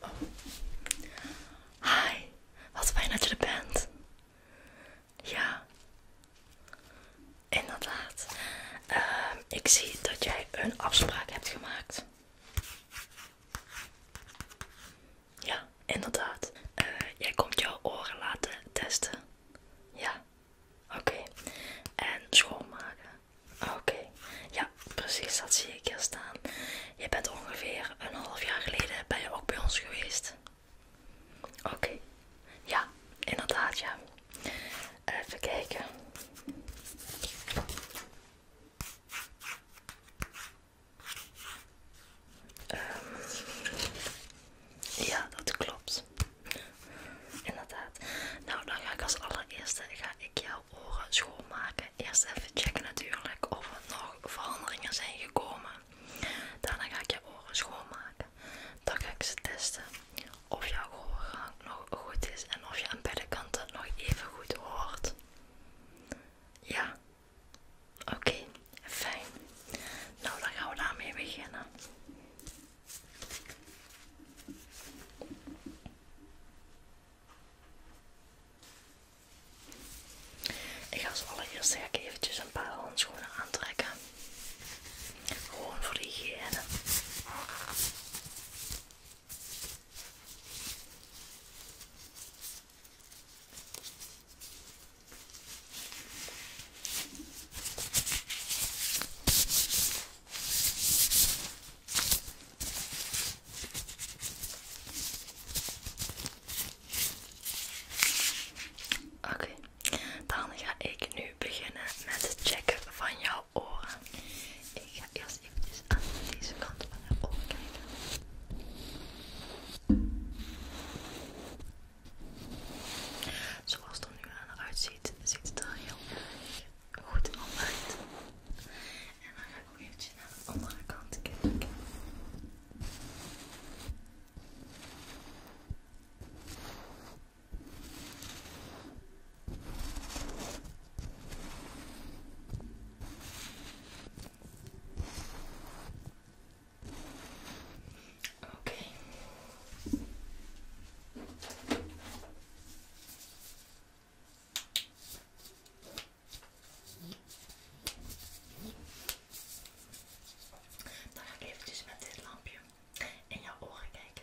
Oh. Hi, wat fijn dat je er bent. Ja, inderdaad. Ehm, ik zie dat jij een afspraak hebt gemaakt. Ja, inderdaad. Eh, jij komt jouw oren laten testen. Ja, oké. En schoonmaken. Oké, ja, precies, dat zie ik hier staan. Je bent ongeveer een half jaar geleden bij je ook bij ons geweest. Oké, ja, inderdaad, ja. Even kijken. Ehm, ja, dat klopt. Inderdaad. Nou, dan ga ik als allereerste ga ik jouw oren schoonmaken. Eerst even checken natuurlijk of er nog veranderingen zijn gekomen. Daarna ga ik je oren schoonmaken. Dan ga ik ze testen of jouw gehoorgang nog goed is en of je aan beide kanten nog even goed hoort. Ja? Oké, fijn. Nou, dan gaan we daarmee beginnen. Ik ga als allereerst even eventjes een paar handschoenen aantrekken. Gewoon voor de hygiëne. Oké, dan ga ik nu beginnen met het checken van jouw oren. Ik ga eerst even aan deze kant van je oor kijken. Zoals het er nu aan uitziet, ziet het er heel erg goed omdraait. En dan ga ik ook naar de andere kant kijken. Oké. Dan ga ik eventjes met dit lampje in jouw oren kijken.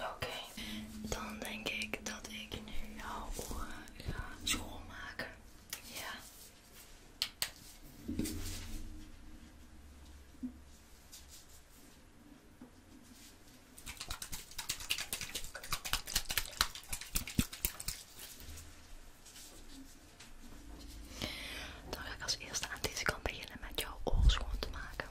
Oké, dan denk ik dat ik nu jouw oren schoonmaken. Ja. Dan ga ik als eerste aan deze kant beginnen met jouw oor schoon te maken.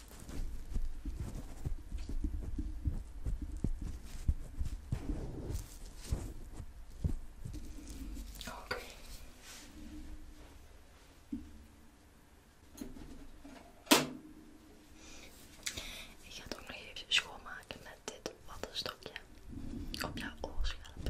Okay. Ik ga het ook nog even schoonmaken met dit wattenstokje op jouw oorschelp.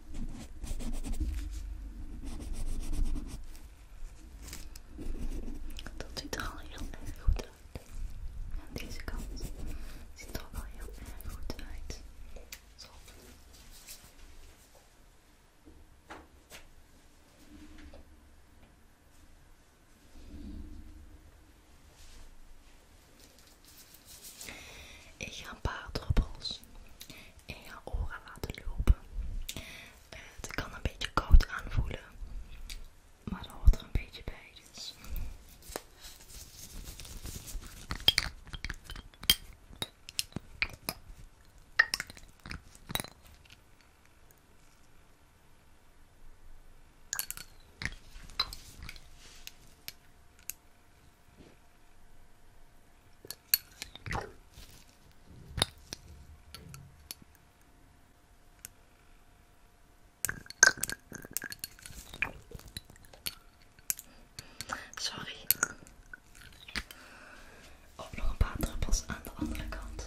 Dat ziet er al heel goed uit. Aan deze kant ziet er ook al heel goed uit. Ik ga een paar druppels in je oren laten lopen. Eh, het kan een beetje koud aanvoelen, maar dat wordt er een beetje bij. Dus. Sorry. Op nog een paar druppels aan de andere kant.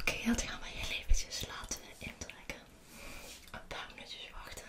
Oké, laten gaan we je leventjes. laten intrekken. Een paar minuutjes wachten.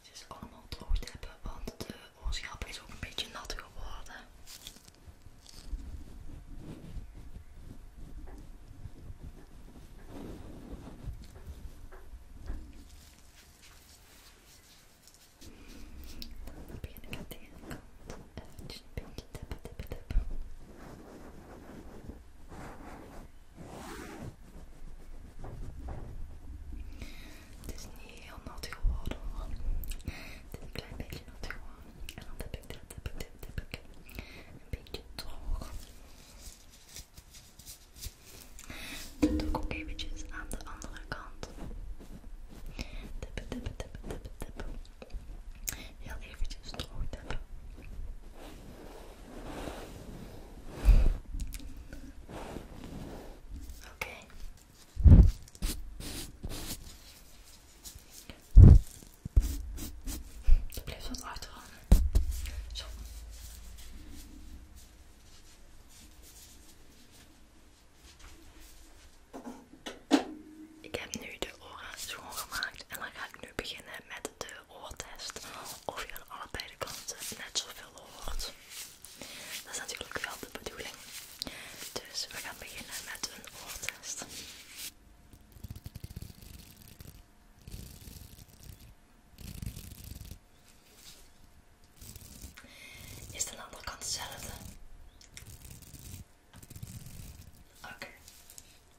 Het is allemaal droog want de oorschap is ook een beetje nat geworden. Dan begin ik aan de ene kant eventjes eh, dus een beetje tippen, tippen, tippen. Het is niet heel nat geworden hoor. Het is een klein beetje nat geworden. En dan heb ik dit, heb ik dit, ik een beetje droog. Dat doe ik ook eventjes aan de andere kant. Tippen, tippen, tippen, tippen, tippen. Heel eventjes droog tippen. Okay. Je blijft wat achterhangen. Ik heb nu de oren schoongemaakt en dan ga ik nu beginnen met de oortest of je aan allebei kanten net zoveel hoort. Dat is natuurlijk wel de bedoeling. Dus we gaan beginnen met een oortest. Is de andere kant hetzelfde? Oké.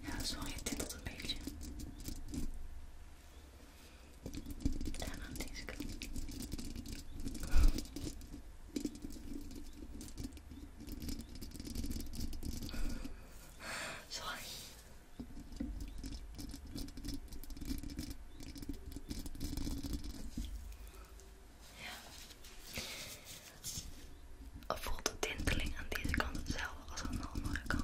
Ja, sorry, het tintelt een beetje. Daarna aan deze kant. Sorry. Ja. Voelt de tinteling aan deze kant hetzelfde als aan de andere kant?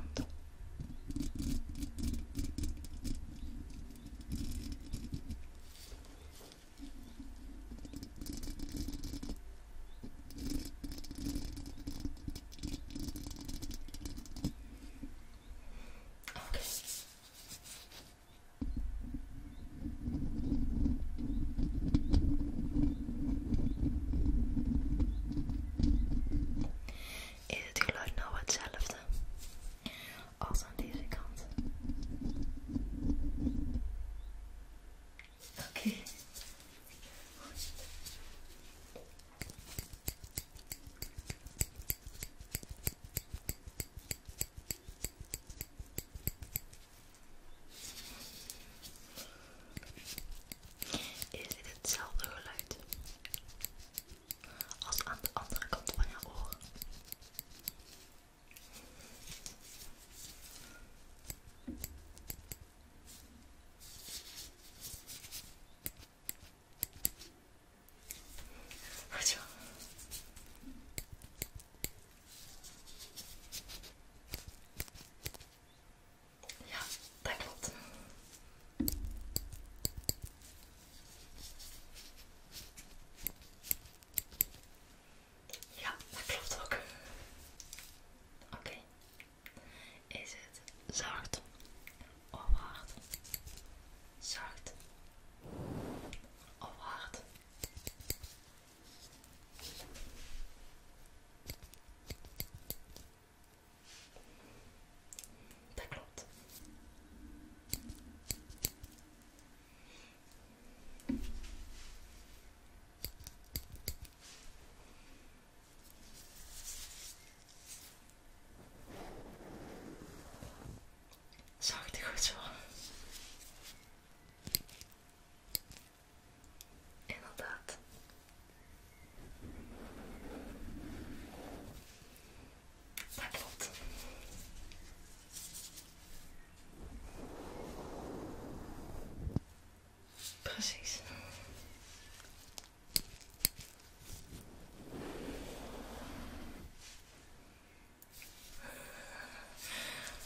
Is het geluid nou hetzelfde als aan deze kant? Oké. Oké, is het hetzelfde geluid als aan de andere kant van je oor? Goed zo. Ja, dat klopt. Ja, dat klopt ook. Oké. Is het zacht of hard? Zacht of hard? Dat klopt. Zacht, goed zo. Inderdaad. Dat Precies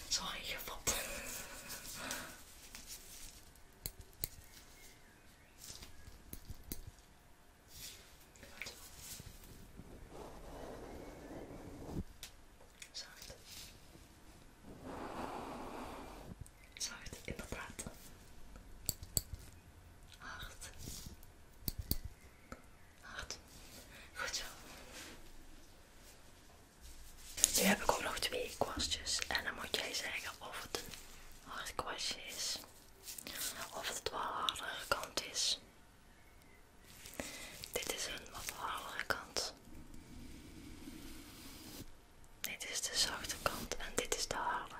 zo ingevat. in de inderdaad. Hard. Hard. Goed zo. Nu heb ik ook nog twee kwastjes en dan moet jij zeggen of het een hard kwastje is of het wel hardere kant is. Dit is een wat hardere kant. Dit is de zachte kant en dit is de harde.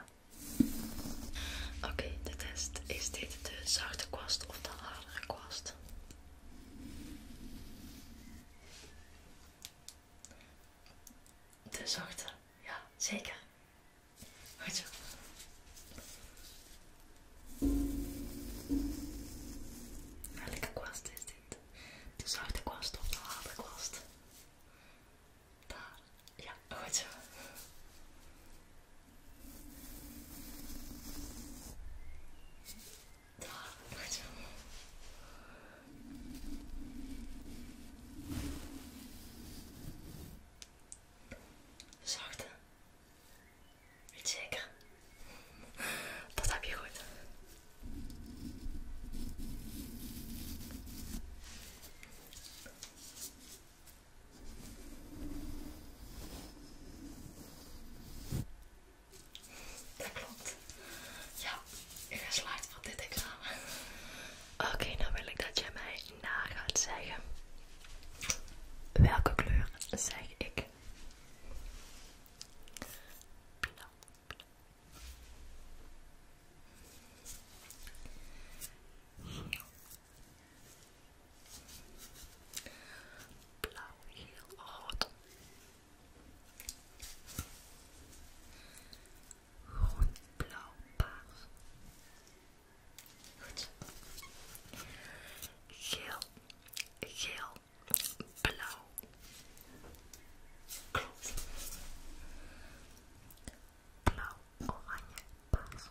Oké, de test is dit de zachte kwast of de harde kwast? De zachte, ja, zeker. Goed zo. Welke kwast is dit? De zachte kwast of de harde kwast? Daar, ja, goed zo. Zachte. Weet zeker? Dat heb je goed. Dat klopt. Ja, ga geslaagd van dit examen. Oké, nou wil ik dat jij mij na gaat zeggen. Welke kleur zeg ik? Blauw. Blauw, heel rood. Groen, blauw, paars. Goed. Geel, geel, blauw. Klopt. Blauw, oranje, paars.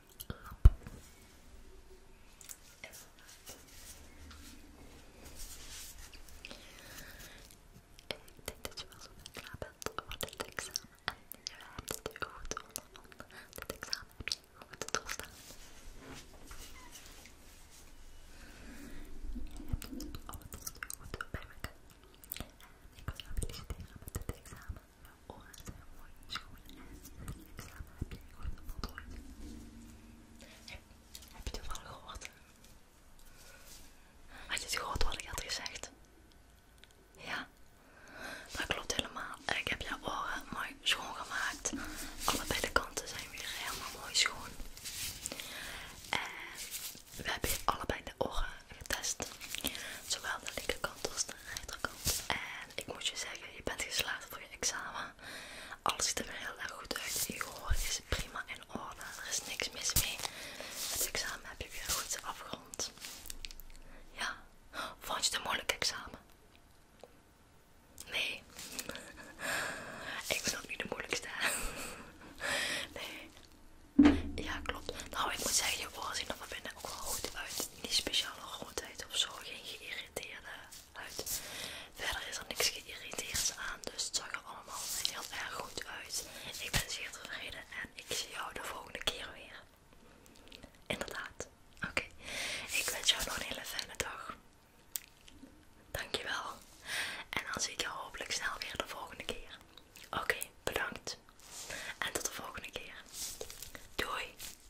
Ik denk dat je wel een klaar bent voor dit examen. En je hebt het goed onder Dit examen heb je goed doorstaan. Je hebt het altijd goed bij elkaar. En ik wil jou feliciteren met dit examen oren zijn mooi schoon en lichaam heb jij gewoon een potlood. Heb je toevallig gehoord? Had je het gehoord wat ik had gezegd? Ja, dat klopt helemaal. Ik heb je oren mooi schoongemaakt. Allebei de kanten zijn weer helemaal mooi schoon. En we hebben allebei de oren getest. Zowel de linkerkant als de rechterkant. En ik moet je zeggen, je bent geslaagd voor je examen. Alles ziet er heel erg goed uit. Je gehoor is prima in orde. Er is niks mis mee. Het examen heb je weer goed afgerond. Ja, vond je het een moeilijk examen? Nee. Ik ben ook niet de moeilijkste. Nee. Ja, klopt. Nou, ik moet zeggen, je voorzien zien er vinden ook wel goed uit. Niet speciale goedheid of zo. Geen geïrriteerde uit. Verder is er niks geïrriteerds aan, dus het zag er allemaal heel erg goed uit. Ik ben zeer tevreden en ik zie jou de volgende keer weer. Inderdaad. Oké, ik wens jou nog een hele fijne dag. Dankjewel. En dan zie ik je hopelijk snel weer de volgende keer. Oké, bedankt. En tot de volgende keer. Doei.